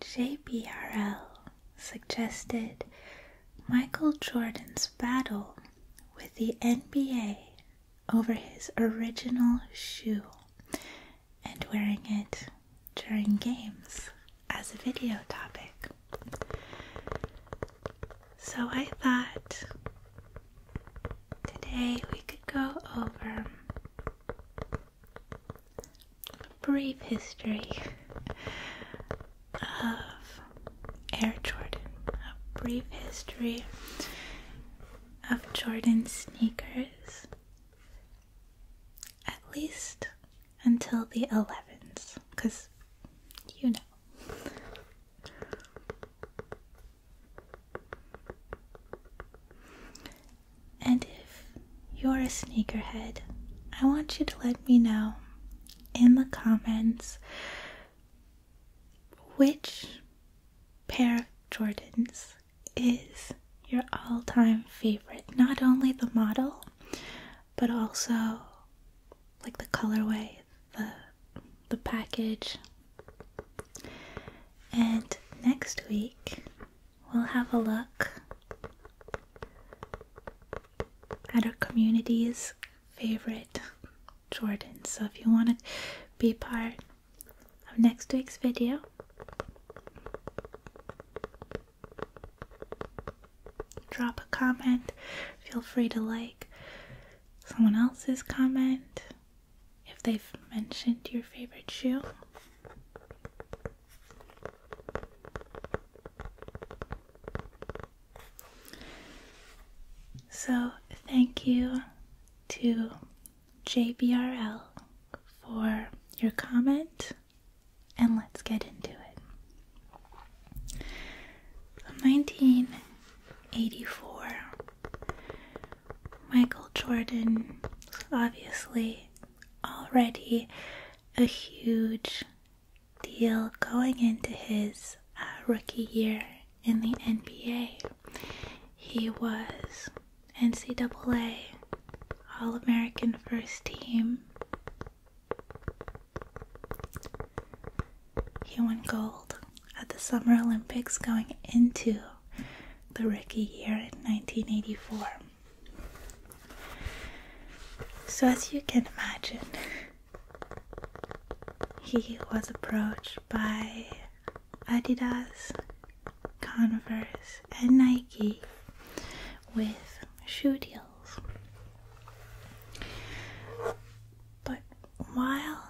JPRL suggested Michael Jordan's battle with the NBA over his original shoe and wearing it during games as a video topic. So I thought today we could go over brief history of Air Jordan, a brief history of Jordan sneakers, at least until the 11s, because you know. And if you're a sneakerhead, I want you to let me know in the comments which pair of Jordans is your all time favorite. Not only the model, but also like the colorway, the the package. And next week we'll have a look at our community's favorite Jordan. So if you want to be part of next week's video, drop a comment. Feel free to like someone else's comment if they've mentioned your favorite shoe. So, thank you to JBRL for your comment, and let's get into it. 1984, Michael Jordan obviously already a huge deal going into his uh, rookie year in the NBA. He was NCAA All American First Team. He won gold at the Summer Olympics going into the rookie year in 1984. So, as you can imagine, he was approached by Adidas, Converse, and Nike with shoe deals. But while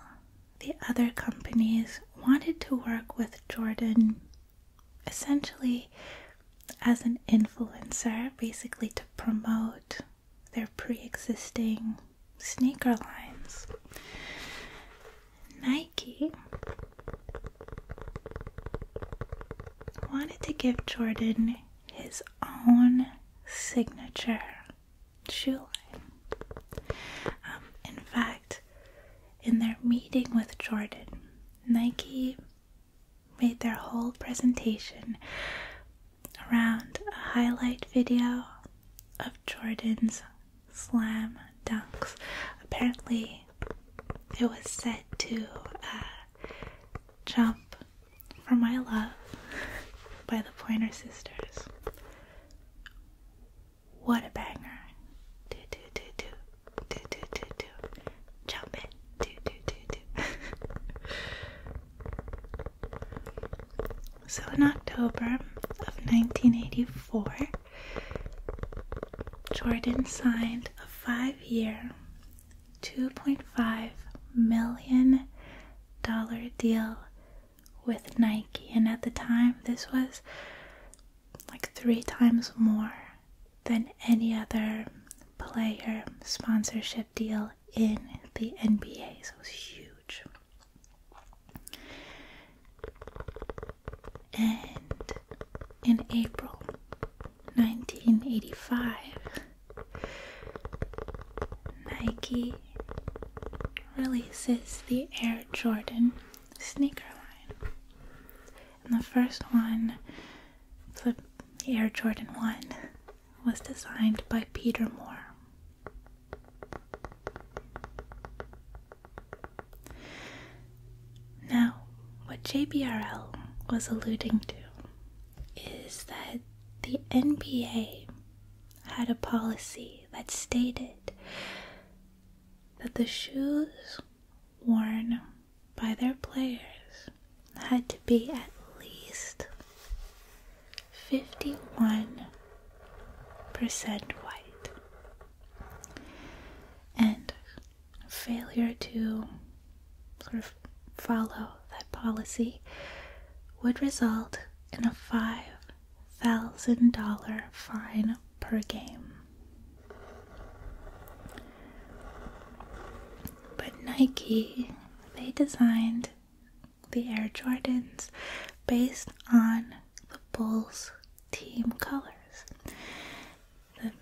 the other companies wanted to work with Jordan essentially as an influencer, basically to promote their pre existing sneaker lines. Nike wanted to give Jordan his own signature shoe line. Um, in fact, in their meeting with Jordan, Nike made their whole presentation around a highlight video of Jordan's slam dunks. Apparently, it was set to uh, jump for my love by the Pointer Sisters. What a banger! Do, do, do, do do do do do, jump it, do do do do. so in October of 1984, Jordan signed a five-year, $2.5 million deal with Nike, and at the time this was like three times more than any other player sponsorship deal in the NBA. So it was huge. And in April 1985, Nike releases the Air Jordan sneaker line. And the first one, the Air Jordan 1, was designed by Peter Moore. Now, what JBRL was alluding to is that the NBA had a policy that stated that the shoes worn by their players had to be at least 51% white. And failure to sort of follow that policy would result in a $5,000 fine per game. But Nike, they designed the Air Jordans based on the Bulls team colors the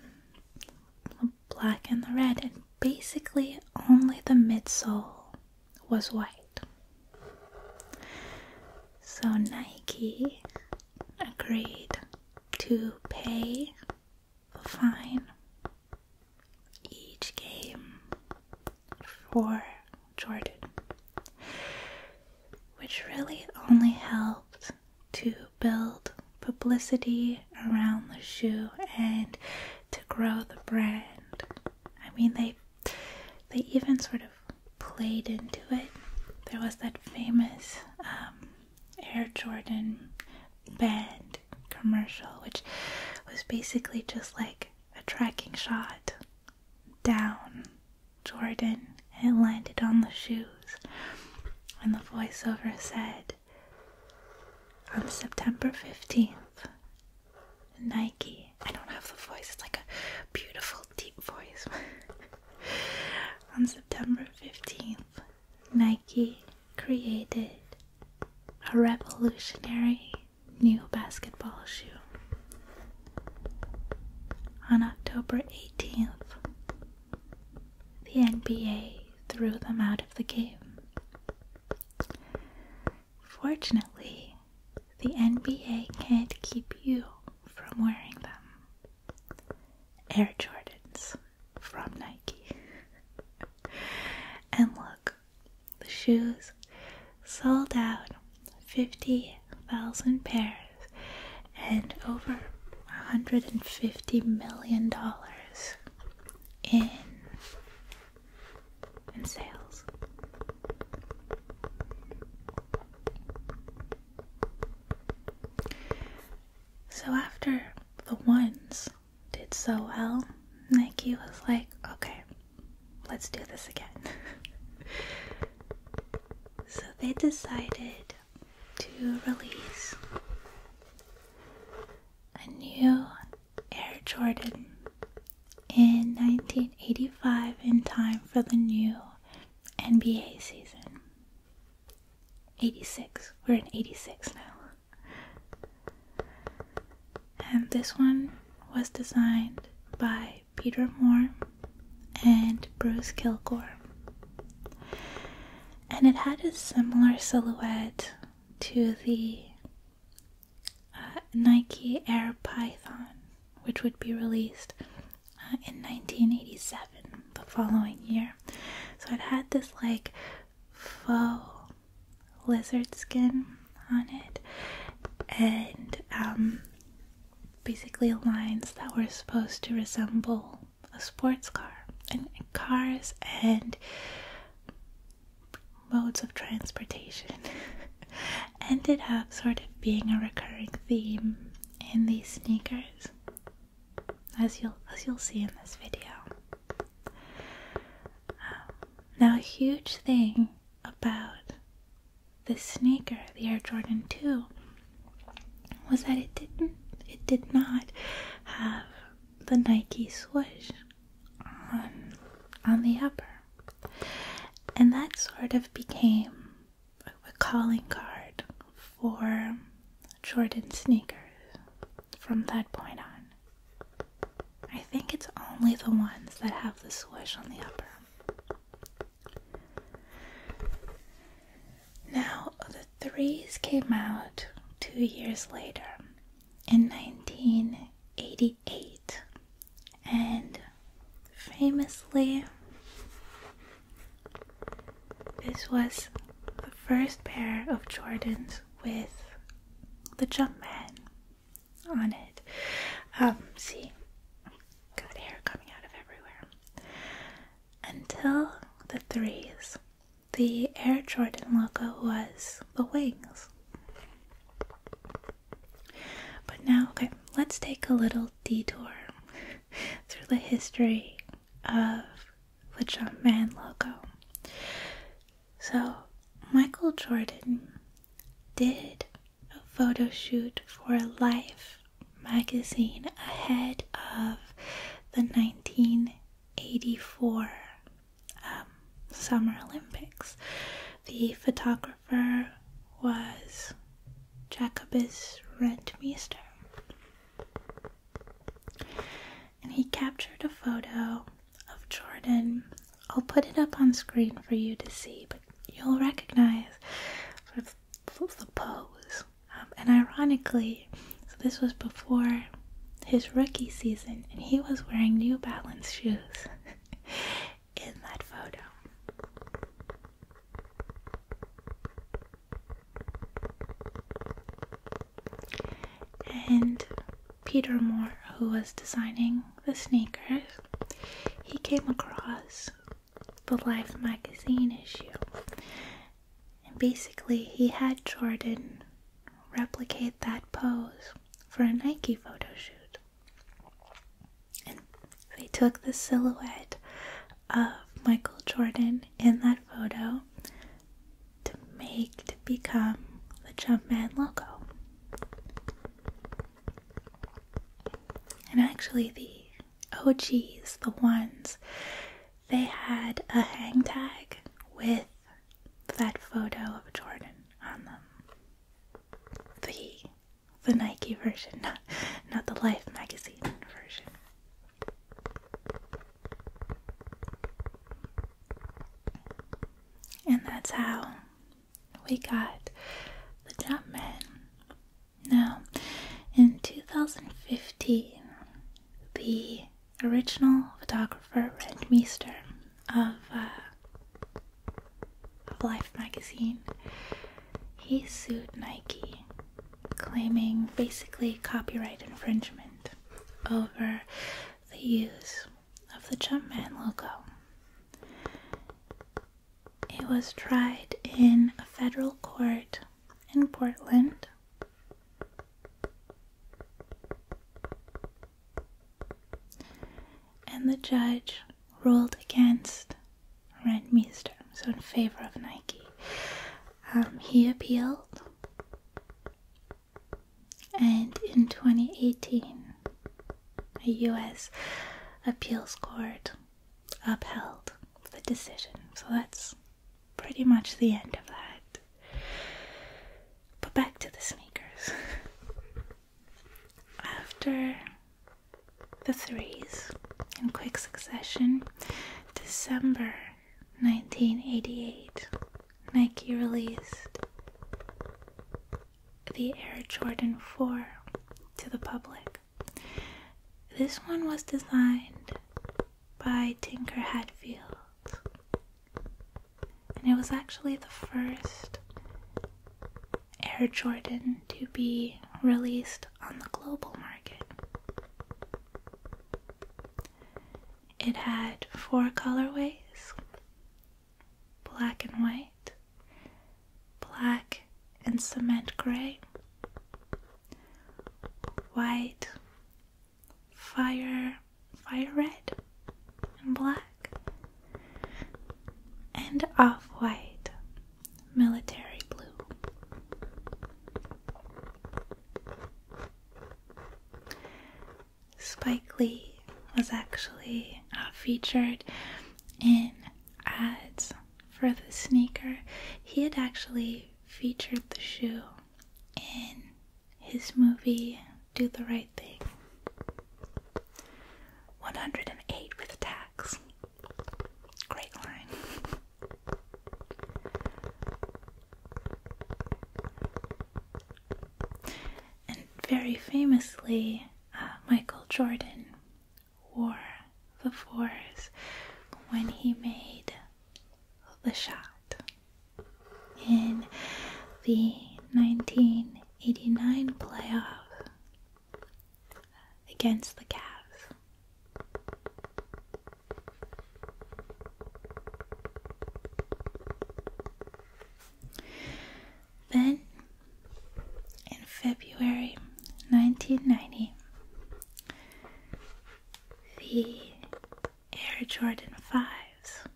black and the red, and basically only the midsole was white. So Nike agreed to pay a fine each game for Jordan, which really only helped to build publicity around the shoe and to grow the brand. I mean, they they even sort of played into it. There was that famous um, Air Jordan band commercial, which was basically just like a tracking shot down Jordan and it landed on the shoes. And the voiceover said, On September 15th, Nike. I don't have the voice, it's like a beautiful, deep voice. September 15th, Nike created a revolutionary new basketball shoe. On October 18th, the NBA threw them out of the game. Fortunately, the NBA can't keep you from wearing them. Air Jordans from Nike. and look, the shoes sold out 50,000 pairs and over $150 million in, in sales. So after the ones did so well, Nike was like, okay, let's do this again. so they decided to release a new Air Jordan in 1985 in time for the new NBA season. 86. We're in 86 now. And this one was designed by Peter Moore and Bruce Kilgore. And it had a similar silhouette to the uh, Nike Air Python, which would be released uh, in 1987, the following year. So it had this like faux lizard skin on it, and um, basically lines that were supposed to resemble a sports car and cars and modes of transportation ended up sort of being a recurring theme in these sneakers as you'll as you'll see in this video. Um, now, a huge thing about the sneaker, the Air Jordan Two, was that it didn't it did not have the Nike swoosh on on the upper, and that sort of became a calling card for Jordan sneakers from that point on. I think it's only the ones that have the swoosh on the upper. Now, the threes came out two years later in 1988, and famously, this was the first pair of Jordans with the Jumpman on it. Um, see, got hair coming out of everywhere. Until the threes, the Air Jordan logo was the wings. But now, okay, let's take a little detour through the history of the man logo. So, Michael Jordan did a photo shoot for Life magazine ahead of the 1984 um, Summer Olympics. The photographer was Jacobus Rentmeester. And he captured a photo of Jordan. I'll put it up on screen for you to see, but you'll recognize the pose. Um, and ironically, this was before his rookie season, and he was wearing New Balance shoes in that photo. And Peter Moore, who was designing the sneakers, he came across the Life magazine issue. And basically, he had Jordan replicate that pose for a Nike photo shoot. And they took the silhouette of Michael Jordan in that photo to make to become the Jumpman logo. And actually, the OGs, the ones, they had a hang tag with that photo of Jordan on them. The the Nike version, not, not the Life magazine version. And that's how we got the Jumpman. Now, in 2015, the original photographer Red Meister, uh, of Life magazine, he sued Nike claiming basically copyright infringement over the use of the Jumpman logo. It was tried in a federal court in Portland. And the judge ruled against Redmeister, so in favor of Nike. Um, he appealed, and in 2018, a U.S. appeals court upheld the decision. So that's pretty much the end of that. But back to the sneakers. After the threes in quick succession. December 1988, Nike released the Air Jordan 4 to the public. This one was designed by Tinker Hatfield, and it was actually the first Air Jordan to be released on the global market. It had four colorways black and white, black and cement gray, white, fire, fire red, and black, and off white military blue. Spike Lee was actually uh, featured in ads for the sneaker. He had actually featured the shoe in his movie Do the Right Thing 108 with Tax. Great line. And very famously, uh, Michael Jordan wore the fours when he made the shot in the 1989 playoff against the calves. Then, in February 1990, the Air Jordan 5s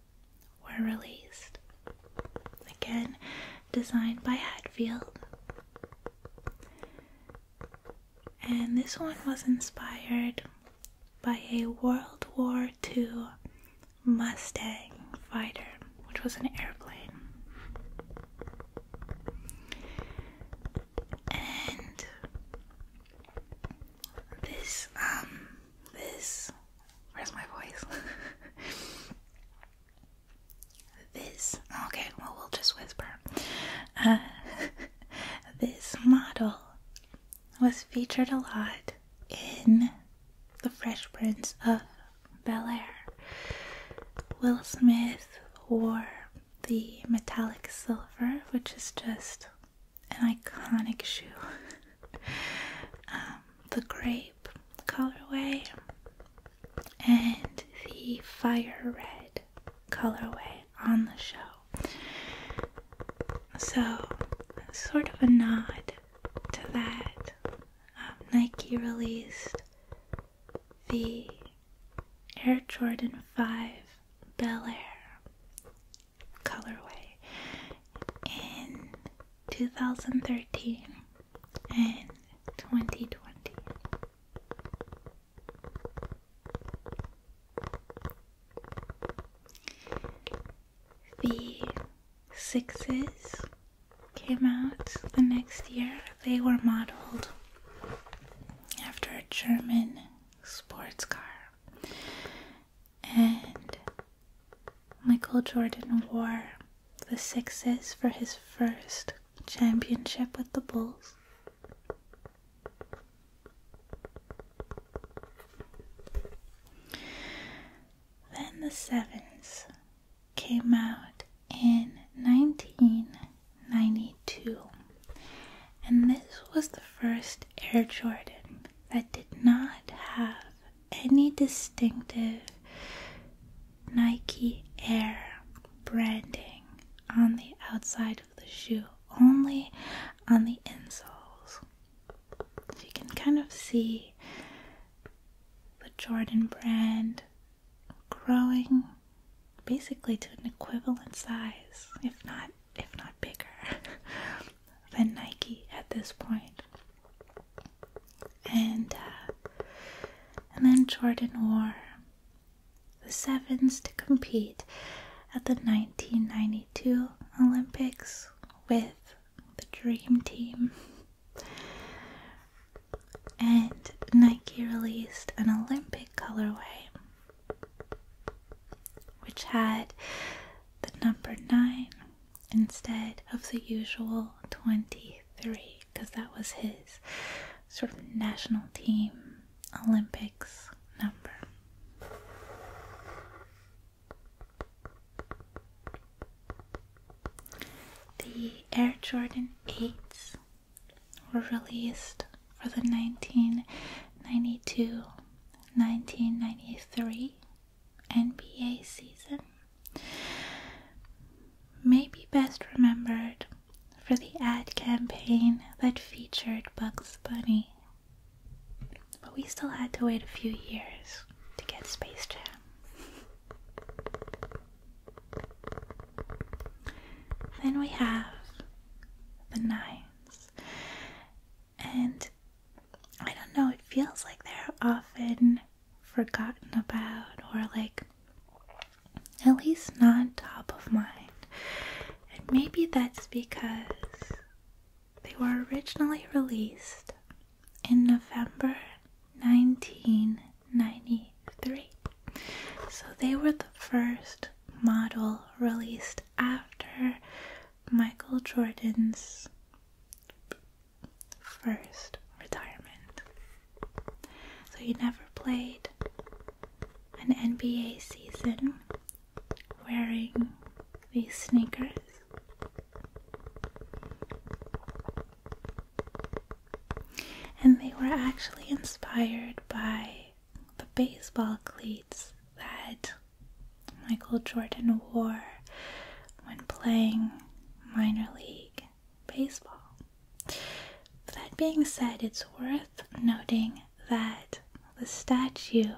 were released, again designed by Hatfield and this one was inspired by a World War II Mustang fighter, which was an airplane. And this, um, this, where's my voice? This, okay, well, we'll just whisper. Uh, this model was featured a lot in The Fresh Prints of Bel Air. Will Smith wore the metallic silver, which is just an iconic shoe. Um, the grape colorway and the fire red colorway on the show. So, sort of a nod to that, um, Nike released the Air Jordan 5 Bel Air colorway in 2013 and 2020. The sixes came out the next year. They were modeled after a German sports car. And Michael Jordan wore the sixes for his first championship with the Bulls. Then the sevens came out in 1992, and this was the first Air Jordan that did not have any distinctive Nike Air branding on the outside of the shoe, only on the insoles. you can kind of see the Jordan brand growing basically to an equivalent size, if not if not bigger than Nike at this point and uh, and then Jordan wore the sevens to compete at the 1992 Olympics with the Dream Team. And Nike released an Olympic colorway which had the number 9 instead of the usual 20 three because that was his sort of national team Olympics number. The Air Jordan 8s were released for the 1992 1993 NBA season may be best remembered for the ad campaign that featured Bugs Bunny. But we still had to wait a few years to get Space Jam. Then we have the Nines. And I don't know, it feels like they're often forgotten about or like at least not top of mind. And maybe that's because they were originally released in November 1993. So they were the first model released after Michael Jordan's first retirement. So he never played an NBA season wearing these sneakers. And they were actually inspired by the baseball cleats that Michael Jordan wore when playing minor league baseball. that being said, it's worth noting that the statue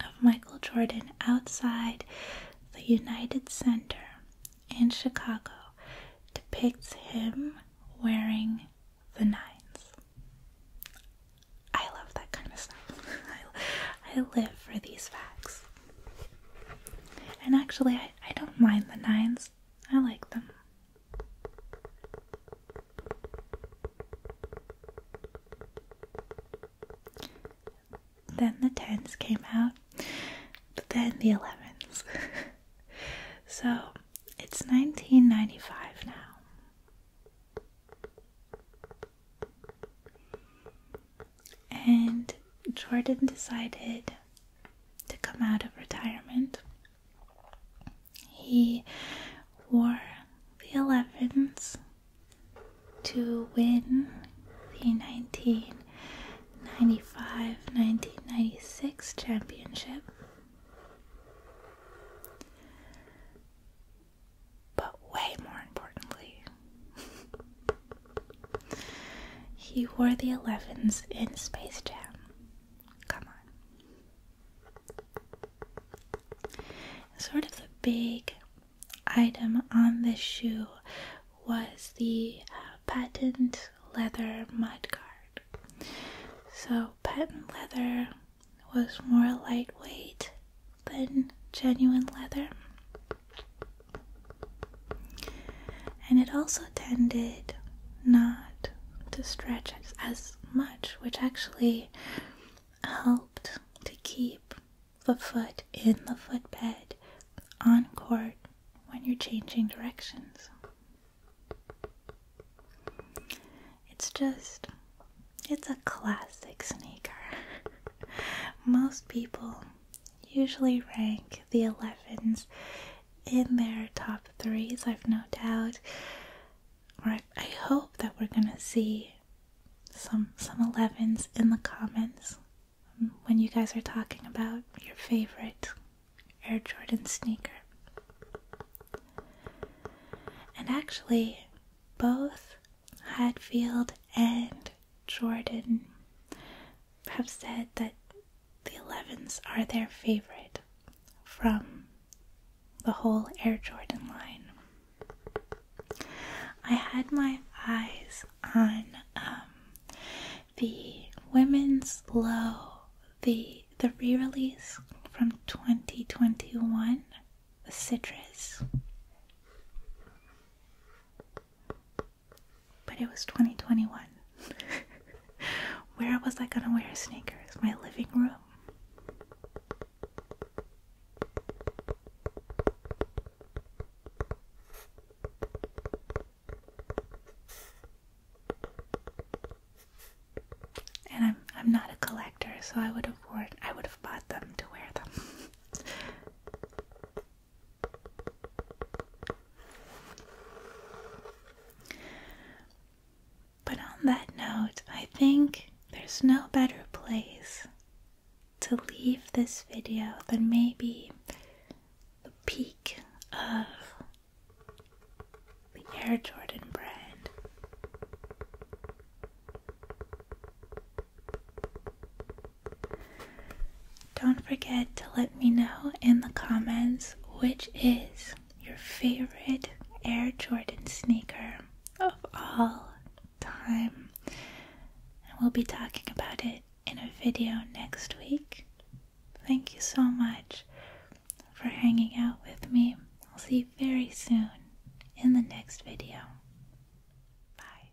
of Michael Jordan outside the United Center in Chicago depicts him wearing the nines. I love that kind of stuff. I live for these facts. And actually, I, don't mind the nines, I like them. Then the tens came out, then the elevens. so it's 1995 now and Jordan decided to come out of retirement. He wore the 11s to win the 1995 1996 championship. But way more importantly, He wore the 11s in Space Jam. Come on. Sort of the big item on this shoe was the uh, patent leather mudguard. So, patent leather was more lightweight than genuine leather. And it also tended not to stretch as, much, which actually helped to keep the foot in the footbed on court when you're changing directions. It's just, it's a classic sneaker. Most people usually rank the 11s in their top threes, I've no doubt. Or I, hope that we're gonna see some some 11s in the comments when you guys are talking about your favorite Air Jordan sneaker. And actually, both Hadfield and Jordan have said that the 11s are their favorite from the whole Air Jordan line. I had my eyes on um, the women's low, the the re-release from 2021, the citrus. But it was 2021. Where was I gonna wear sneakers? My living room? And I'm I'm not a collector, so I would have worn I would have bought them to wear them. But on that note, I think there's no better place to leave this video than maybe the peak of the Air Jordan brand. Don't forget to let me know in the comments which is your favorite Air Jordan sneaker of all time. And we'll be talking about it in a video next week. Thank you so much for hanging out with me. I'll see you very soon in the next video. Bye.